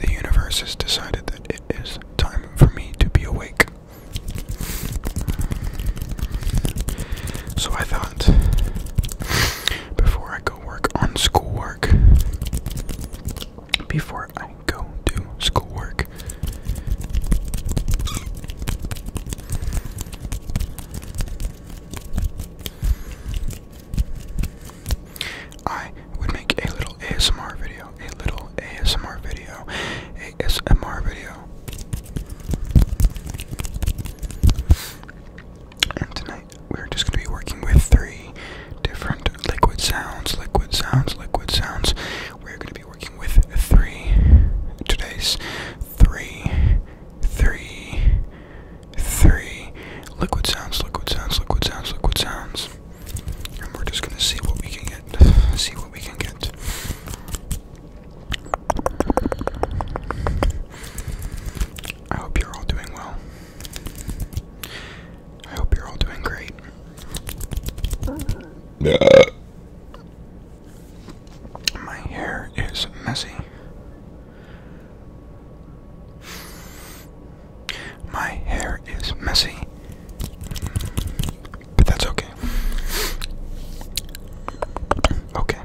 the universe has decided that it is time for me to be awake. So I thought, before I go work on schoolwork, before I go do schoolwork, I would make a little ASMR video, a little ASMR video, ASMR video. And tonight we're just going to be working with three different liquid sounds, liquid sounds, liquid sounds. We're going to be working with three today's three, three, three liquid sounds, liquid sounds, liquid sounds, liquid sounds. And we're just gonna see what we can get. See what we can get. I hope you're all doing well. I hope you're all doing great. My hair is messy. My hair is messy, but that's okay. Okay.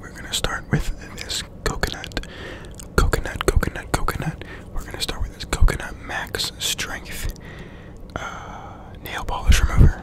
We're going to start with this coconut coconut, coconut, coconut. We're gonna start with this coconut max strength uh, nail polish remover.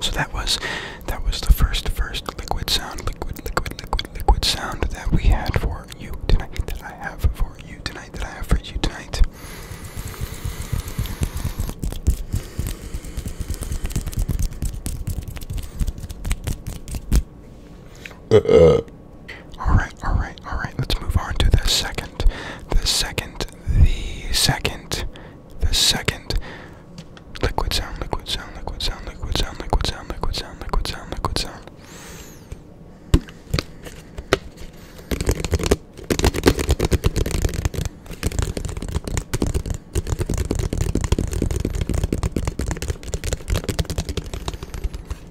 So that was that was the first first liquid sound, liquid, liquid, liquid, liquid sound that we had for you tonight, that I have for you tonight, that I have for you tonight. Uh, uh. Alright, alright, alright. Let's move on to the second. The second, the second, the second. Liquid sound, liquid sound, liquid sound, liquid sound, liquid sound, liquid sound, liquid sound, liquid sound.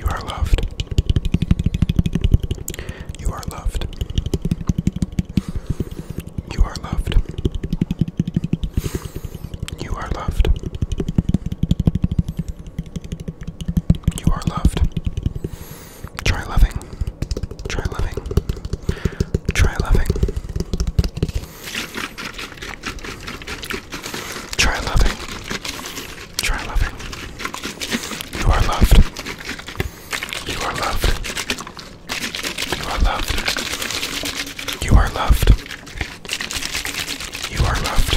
You are loved. You are loved. You are loved. You are loved. You are loved. Try loving. Try loving. Try loving. Try loving. Try loving. You are loved. You are loved. You are loved. You are loved. You are loved.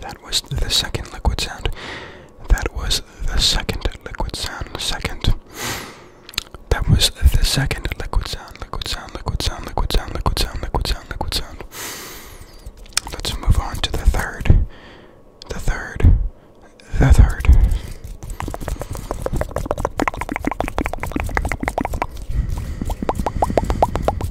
That was the second liquid sound. That was the second liquid sound. Second. That was the second liquid sound. Liquid sound, liquid sound, liquid sound, liquid sound, liquid sound, liquid sound. Let's move on to the third. The third. The third.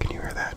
Can you hear that?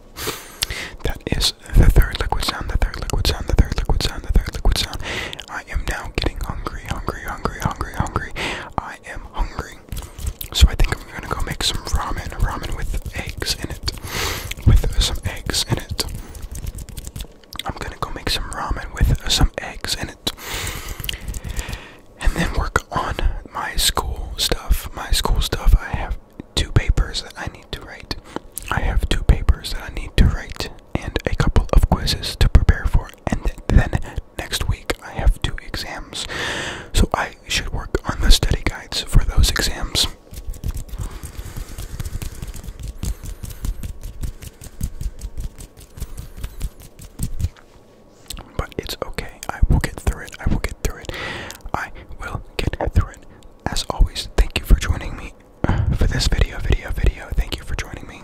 That is the third liquid sound, the third liquid sound, the third liquid sound, the third liquid sound. I am now getting hungry, hungry, hungry, hungry, hungry. I am hungry. So I think I'm gonna go make some ramen, ramen with eggs in it. With some eggs in it. I'm gonna go make some ramen with some eggs in it. And then work on my school stuff. My school stuff. I have two papers that I need to write. I have two papers that I need to write and a couple of quizzes to prepare for, and then next week I have two exams. So I should work on the study guides for those exams. But it's okay. I will get through it. I will get through it. I will get through it. As always, thank you for joining me uh, for this video, video, video. Thank you for joining me.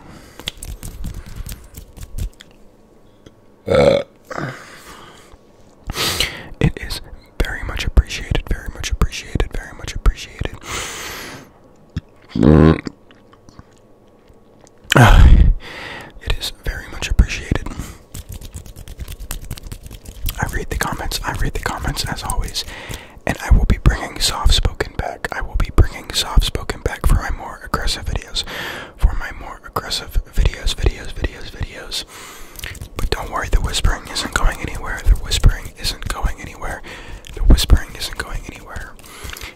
Uh. It is very much appreciated, very much appreciated, very much appreciated. Uh, it is is very much appreciated. I read the comments, I read the comments as always, and I will be bringing soft spoken back. I will be bringing soft spoken back for my more aggressive videos. For my more aggressive videos, videos, videos, videos. But don't worry, the whispering isn't going anywhere. The whispering isn't going anywhere. The whispering isn't going anywhere.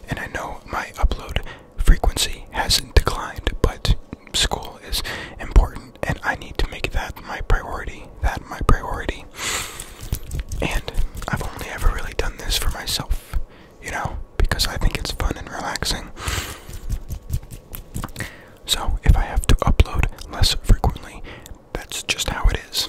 And I know my upload frequency hasn't declined, but school is important and I need to make that my priority. That my priority. And I've only ever really done this for myself, you know, because I think it's fun and relaxing. So if I have to upload less frequently, that's just how it is.